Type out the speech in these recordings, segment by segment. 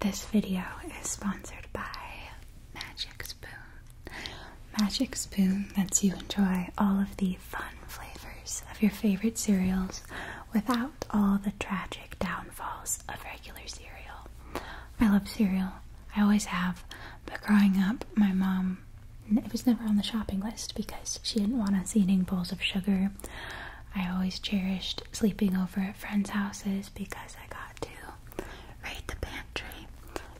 This video is sponsored by Magic Spoon. Magic Spoon lets you enjoy all of the fun flavors of your favorite cereals without all the tragic downfalls of regular cereal. I love cereal. I always have, but growing up, my mom it was never on the shopping list because she didn't want us eating bowls of sugar I always cherished sleeping over at friends' houses because I got to raid the pantry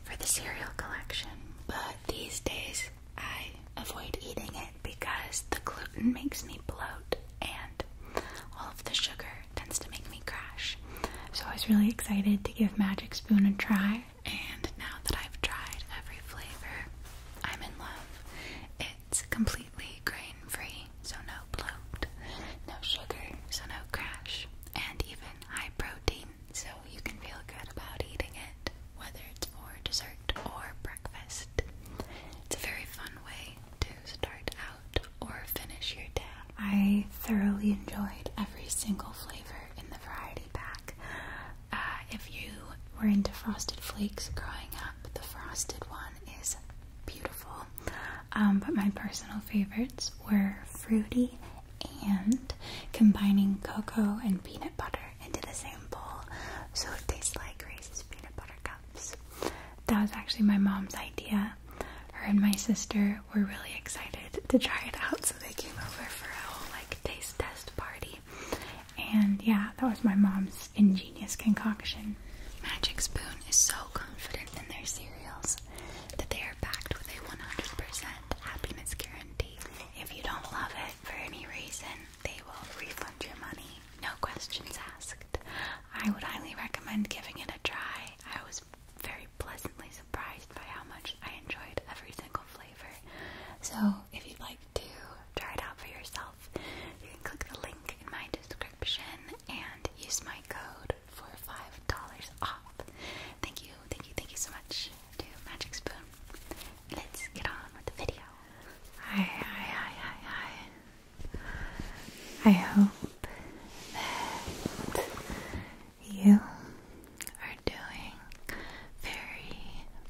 for the cereal collection. But these days I avoid eating it because the gluten makes me bloat and all of the sugar tends to make me crash. So I was really excited to give Magic Spoon a try, and now that I've tried every flavor, I'm in love. It's completely grain free so no bloat, no sugar, so no crash, and even high protein, so you can feel good about eating it, whether it's for dessert or breakfast. It's a very fun way to start out or finish your day. I thoroughly enjoyed every single flavor in the variety pack. Uh, if you were into frosted flakes growing up, the frosted one is beautiful. Um, but my personal favorites were fruity and combining cocoa and peanut butter into the same bowl so it tastes like Reese's peanut butter cups. That was actually my mom's idea. Her and my sister were really excited to try it out, so they came over for a whole like taste test party. And yeah, that was my mom's ingenious concoction. Magic Spoon is so confident better their cereals, that they are backed with a 100% happiness guarantee. If you don't love it for any reason, they will refund your money. No questions asked. I would highly recommend giving it a try. I was very pleasantly surprised by how much I enjoyed every single flavor. So, if you'd like to try it out for yourself, you can click the link in my description and use my code for $5 off. Thank you, thank you, thank you so much to Magic Spoon. Let's get on with the video. Hi, hi, hi, hi, hi. I hope that you are doing very,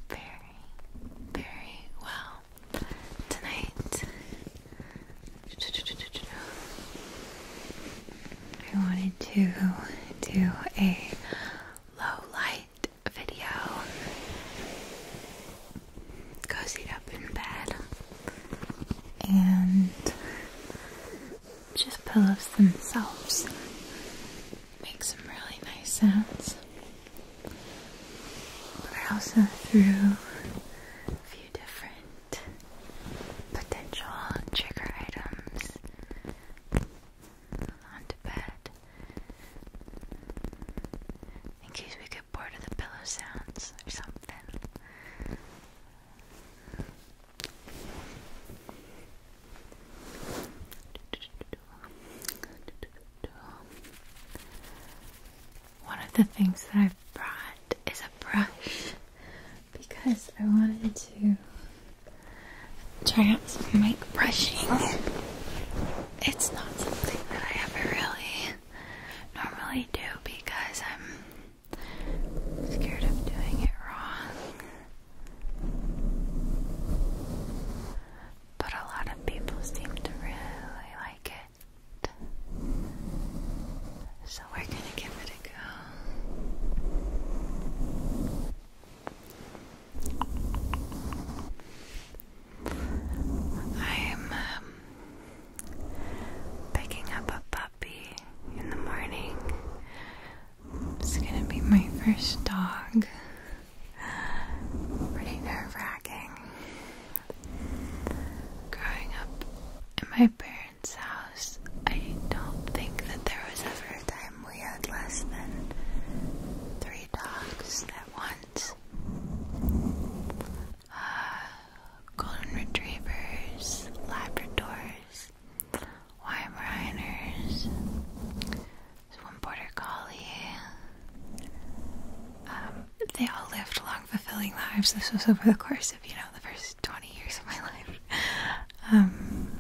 very, very well tonight. I wanted to do a low light video. Cozied up in bed and just pillows themselves make some really nice sounds. But I also threw a few different potential trigger items onto bed in case we get bored of the pillow sounds or something one of the things that I've brought is a brush because I wanted to try out some mic brushing. It's not something that I ever really normally do because I'm scared of doing it wrong. But a lot of people seem to really like it. So we're going to give it a go. I'm um, picking up a puppy in the morning. It's going to be my first dog. Pretty nerve wracking. Growing up in my parents' house, I don't think that there was ever a time we had less than three dogs at once. Uh, golden retrievers, labradors, Weimaraners, one border collie. Um, they all lived long fulfilling lives. This was over the course of, you know, the first 20 years of my life. Um,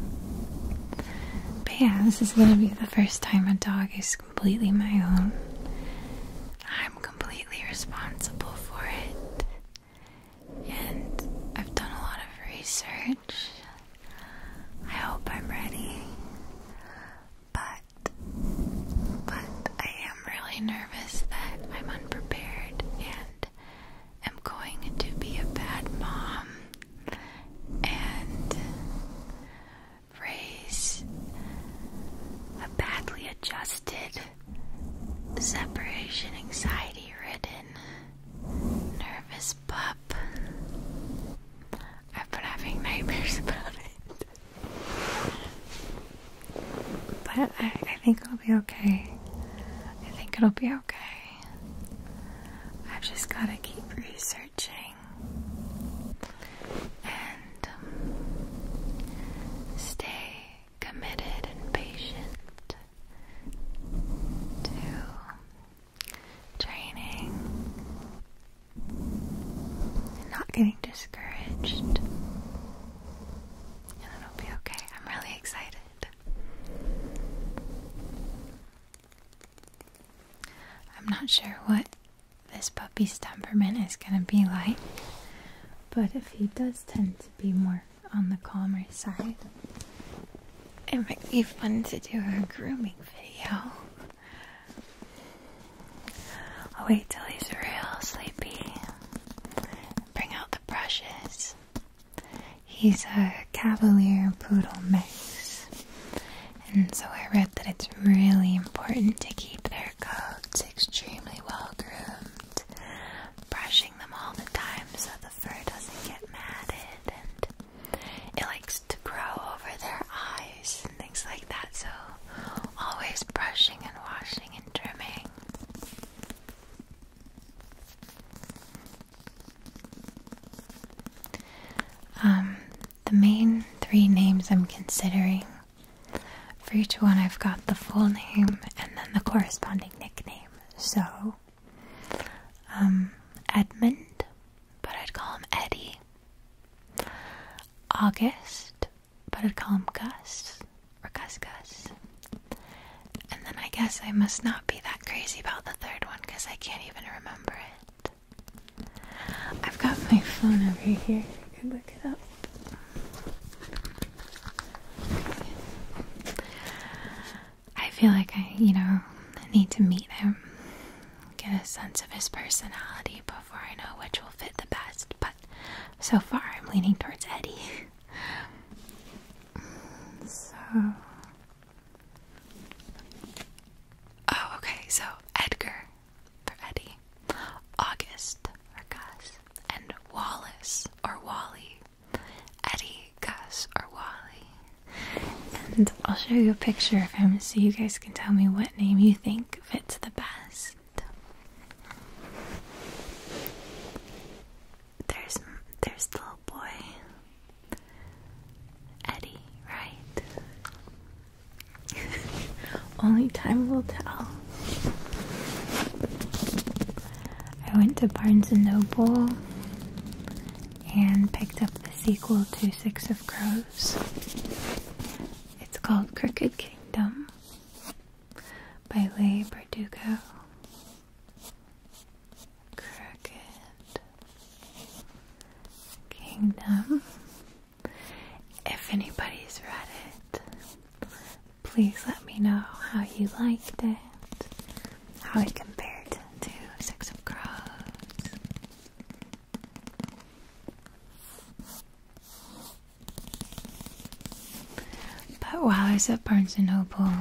but yeah, this is going to be the first time a dog is completely my own. I'm completely responsible for it. And I've done a lot of research. I hope I'm ready. But but I am really nervous that I'm unprepared and am going to be a bad mom and raise a badly adjusted separation anxiety ridden nervous pup. I've been having nightmares about it. But I, think it'll be okay. I think it'll be okay. I've just got to keep researching and um, stay committed and patient to training and not getting discouraged and it'll be okay. I'm really excited. I'm not sure what this puppy's temperament is going to be like, but if he does tend to be more on the calmer side, it might be fun to do a grooming video. I'll wait till he's real sleepy. Bring out the brushes. He's a Cavalier Poodle mix. And so I read that it's really important to keep their coats extremely well groomed, brushing them all the time so the fur doesn't get matted and it likes to grow over their eyes and things like that. So, always brushing and washing and trimming. Um, the main three names I'm considering. For each one, I've got the full name and then the corresponding nickname. So, um, Edmund, but I'd call him Eddie. August, but I'd call him Gus or Gus Gus. And then I guess I must not be that crazy about the third one because I can't even remember it. I've got my phone over here. I can look it up. I feel like I, you know, need to meet him, get a sense of his personality before I know which will fit the best. But so far I'm leaning towards Eddie. so. Oh, okay, so Edgar for Eddie, August for Gus, and Wallace or Wally. Eddie, Gus, or Wally. And I'll show you a picture of him so you guys can tell me what name you think fits the best. There's there's the little boy, Eddie, right? Only time will tell. I went to Barnes and Noble and picked up the sequel to Six of Crows. It's called Crooked Kingdom by Lay Bardugo. Crooked Kingdom. If anybody's read it, please let me know how you liked it, how it compared to Six of Crows. But while I was at Barnes & Noble,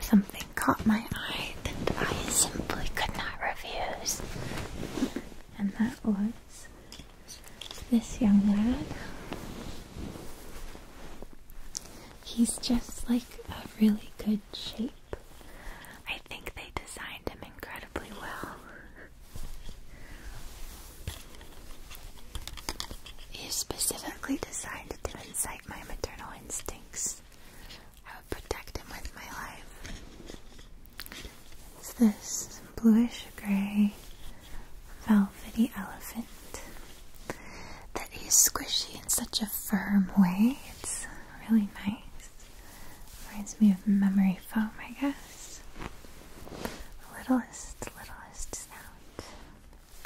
something caught my eye that I simply could not refuse. And that was this young lad. He's just like a really good shape. I think they designed him incredibly well. You specifically designed to incite my maternal instincts. I would protect him with my life. It's this bluish gray velvety elephant that is squishy in such a firm way. It's really nice. Reminds me of memory foam, I guess. The littlest, littlest sound.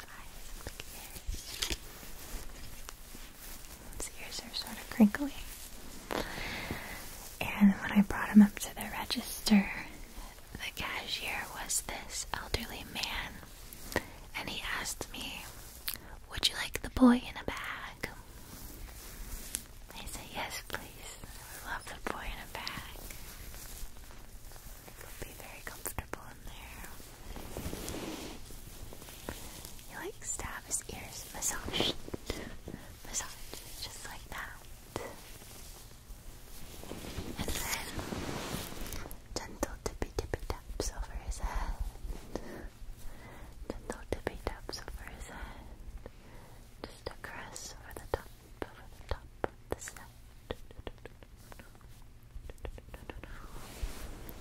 Eyes His ears are sort of crinkly. And when I brought him up to the register, the cashier was this elderly man, and he asked me, Would you like the boy in a bag? I say yes, please. I love the boy in a bag. He'll be very comfortable in there. He like stab his ears, massage, massage, just like that. And then gentle tippy tippy taps over his head. Gentle tippy taps over his head. Just a over the top, over the top the snout.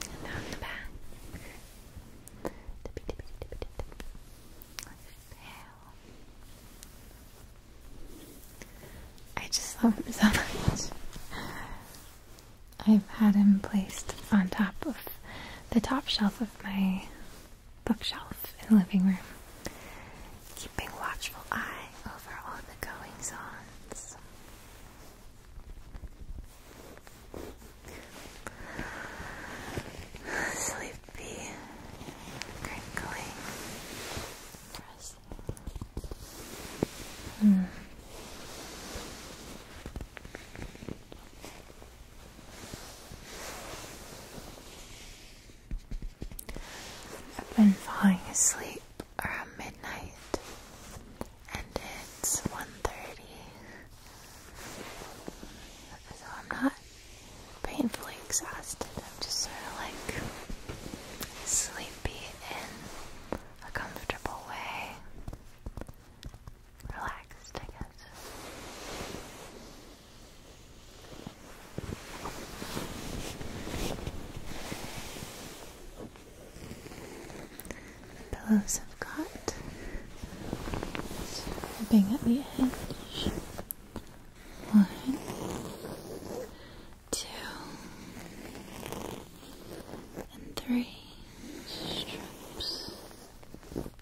And down the back. Tippy, tippy, tippy, tippy. Exhale. I just love him so much. I've had him placed on top of the top shelf of my bookshelf in the living room, keeping watchful eye over all the goings ons. Sleepy, crinkly, mm. I've been falling asleep around midnight and it's 1.30 so I'm not painfully exhausted, I'm just sort of like sleepy in a comfortable way relaxed I guess the Pillows have got, rubbing at the edge. One, two, and three strips.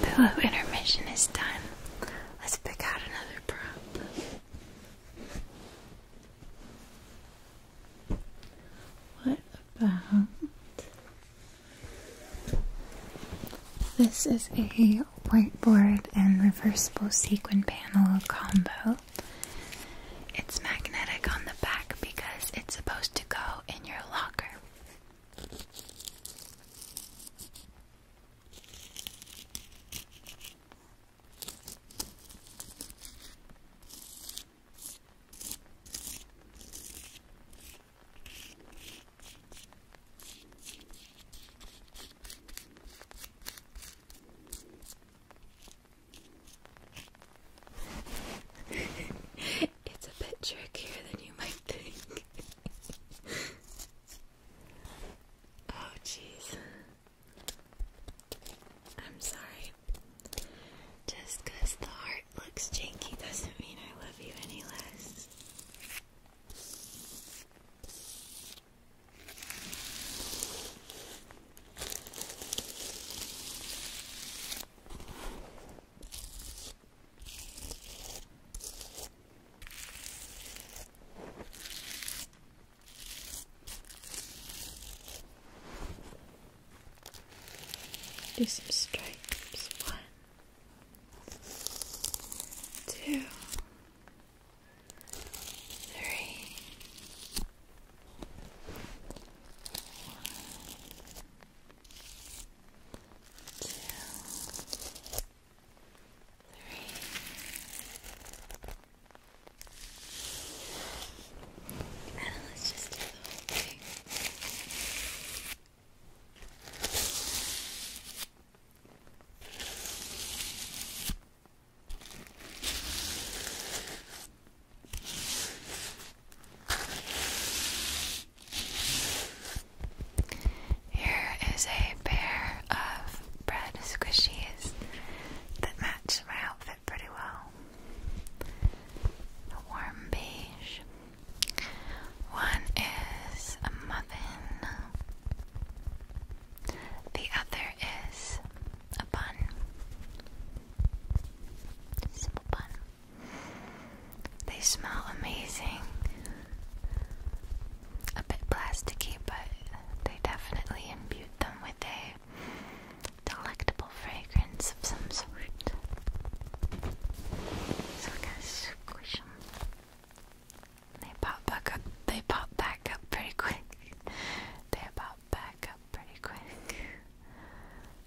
The low intermission is done. Let's pick out another prop. What about this? Is a whiteboard and reversible sequin panel combo. It's magnetic on the back because it's supposed to go in your locker. it's a bit trickier than you might think. oh, jeez. I'm sorry. Just the heart looks janky doesn't mean I love you any less. Do some stripes. One, two, three, four, two, three, and let's just do the whole thing. Okay. Here is a pair of bread squishies that match my outfit pretty well. A warm beige. One is a muffin. The other is a bun. Simple bun. They smell amazing. A bit plasticky, but they definitely imbued them with a delectable fragrance of some sort. So I gotta squish them. They pop back up. They pop back up pretty quick. They pop back up pretty quick.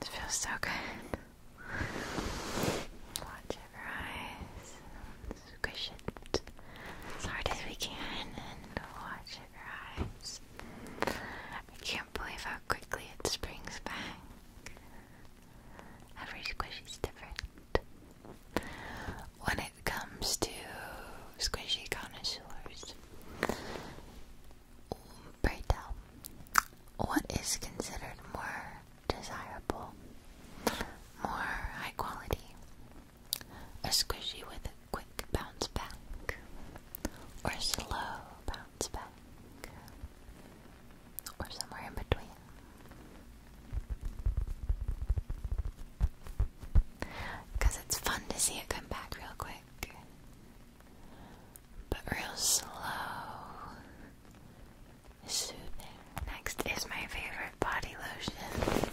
It feels so good. Watch it rise. Squish it as hard as we can and watch it rise. I can't believe how quickly it springs back. Every squishy is different. When it comes to squishy connoisseurs, pray tell, what is considered more desirable, more high quality? A squishy with a quick bounce back, or a slow bounce back, or somewhere in between. Because it's fun to see it come back real quick, but real slow, soothing. Next is my favorite body lotion.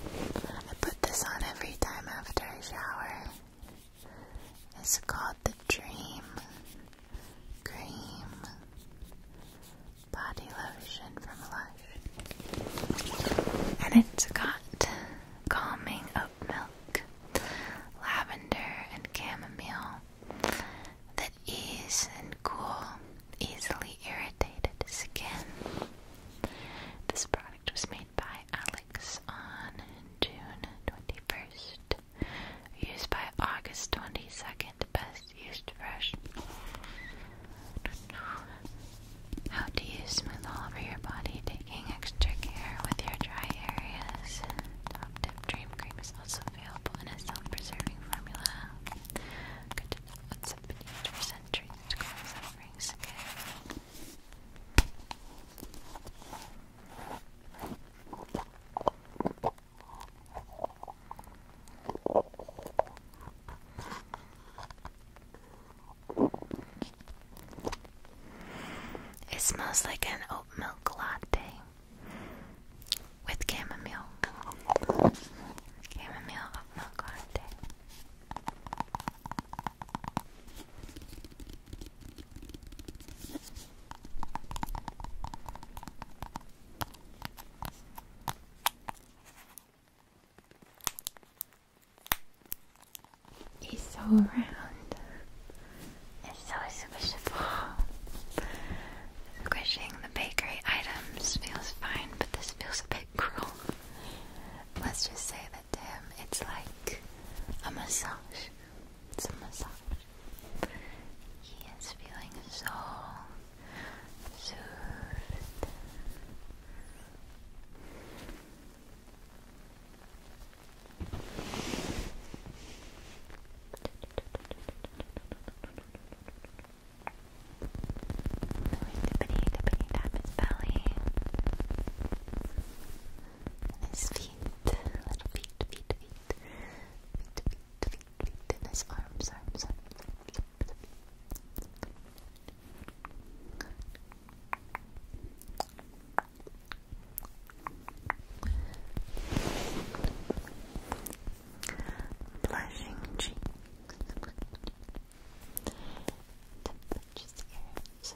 I put this on every time after I shower. It's called the Dream cream body lotion from Lush, and it's got calming oat milk, lavender, and chamomile that ease and cool easily irritated skin. This product was made by Alex on June 21st, Used by August 22nd. Best used fresh. How to use smooth all over your body, taking extra care with your dry areas. Top tip dream cream is also available in a self-preserving formula. Good to know what's up beneath for centuries to cause suffering skin. It smells like an oat milk latte with chamomile. Chamomile oat milk latte. He's so round and so squishable. Squishing the bakery items feels fine, but this feels a bit cruel. Let's just say that to him it's like a massage. It's a massage. He is feeling so soothed. Tippity, tippity, tap his belly his feet, little feet, feet, feet, feet, feet, in his arms, Blushing cheeks, temperatures, air, so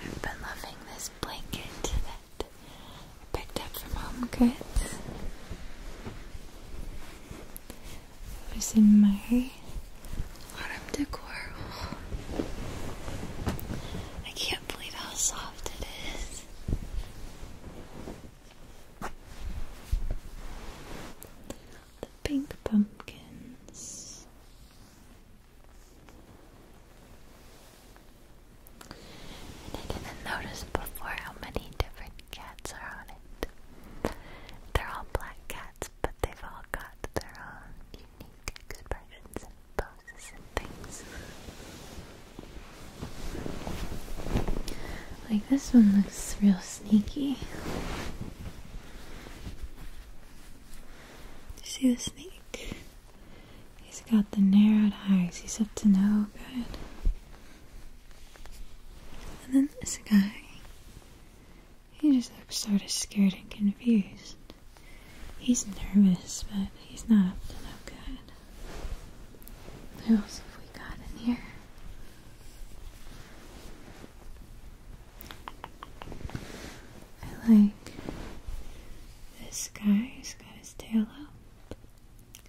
I've been loving this blanket I picked up from Home Goods. It in my autumn decor. I can't believe how soft it is. The pink pumpkins. And I didn't notice before how many different cats are on it. They're all black cats, but they've all got their own unique expressions and poses and things. Like this one looks real sneaky. You see the snake? He's got the narrowed eyes. He's up to no good. And then this guy, he just looks sort of scared and confused. He's nervous, but he's not up to no good. Who else have we got in here? I like this guy has got his tail up.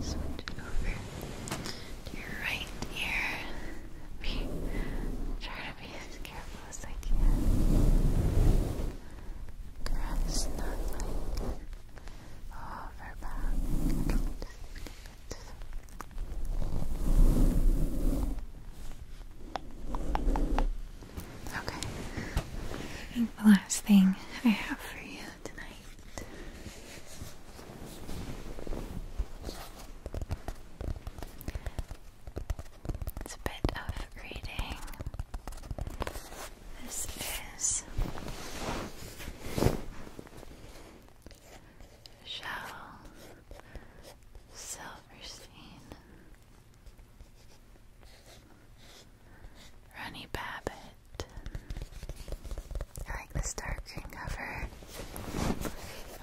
switch over your right ear. Be, try to be as careful as I can. Perhaps not like over back. Okay. the last thing I have for you tonight right. It's a bit of reading. This is Shell Silverstein, Ronnie Babbitt. I like this dark green cover.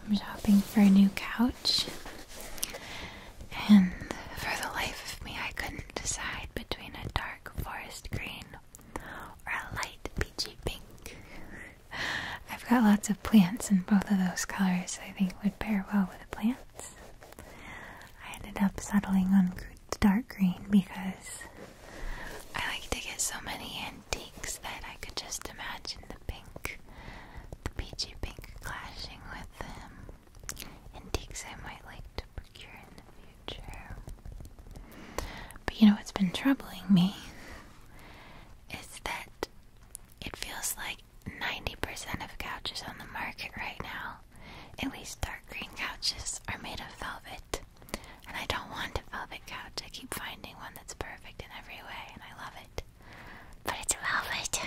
I'm shopping for a new couch. And for the life of me, I couldn't decide between a dark forest green or a light peachy pink. I've got lots of plants in both of those colors, I think would pair well with the plants. I ended up settling on dark green because I like to get so many antiques that I could just imagine the pink, the peachy pink clashing with them. Antiques I might like to procure in the future. But you know what's been troubling me is that it feels like 90% of couches on the market right now, at least dark green couches, are made of velvet. And I don't want a velvet couch. I keep finding one that's perfect in every way, and I love it. But it's velvet.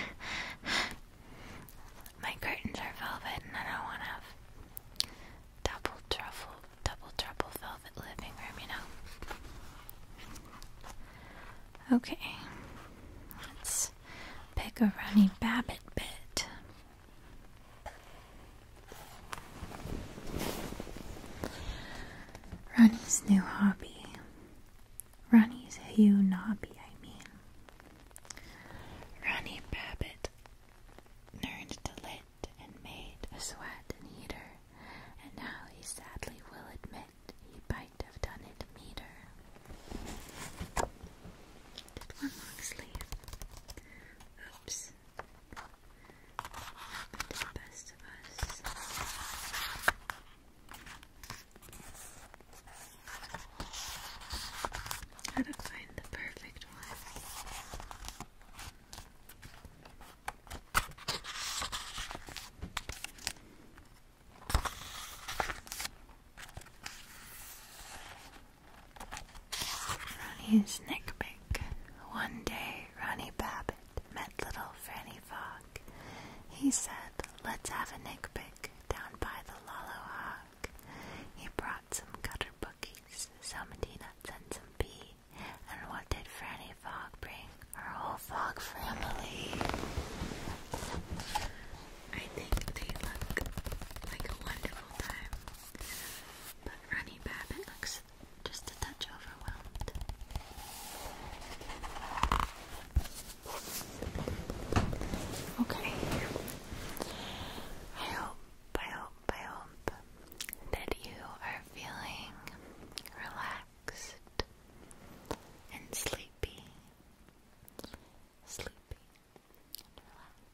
My curtains are velvet, and I don't want to have double truffle, double trouble velvet living room, you know? Okay. Let's pick a runny Babbit bit. Ronnie's new hobby. Ronnie's new hobby, I mean. Ronnie Babbitt learned to lit and made a sweat and heater, and now he sadly will admit he might have done it meter. Did one long sleeve. Oops and the best How to find the perfect one. Ronnie's Nickpick. One day, Ronnie Babbitt met little Franny Fogg. He said, Let's have a nickpick down by the Lolo Hog. He brought some cutter bookies, some peanuts, and some pea. And what did Franny Fogg bring? Her whole Fog family. I think they look like a wonderful time. But Runny Rabbit looks just a touch overwhelmed. Okay. I hope, I hope, I hope that you are feeling relaxed and sleepy. Sleepy and relaxed.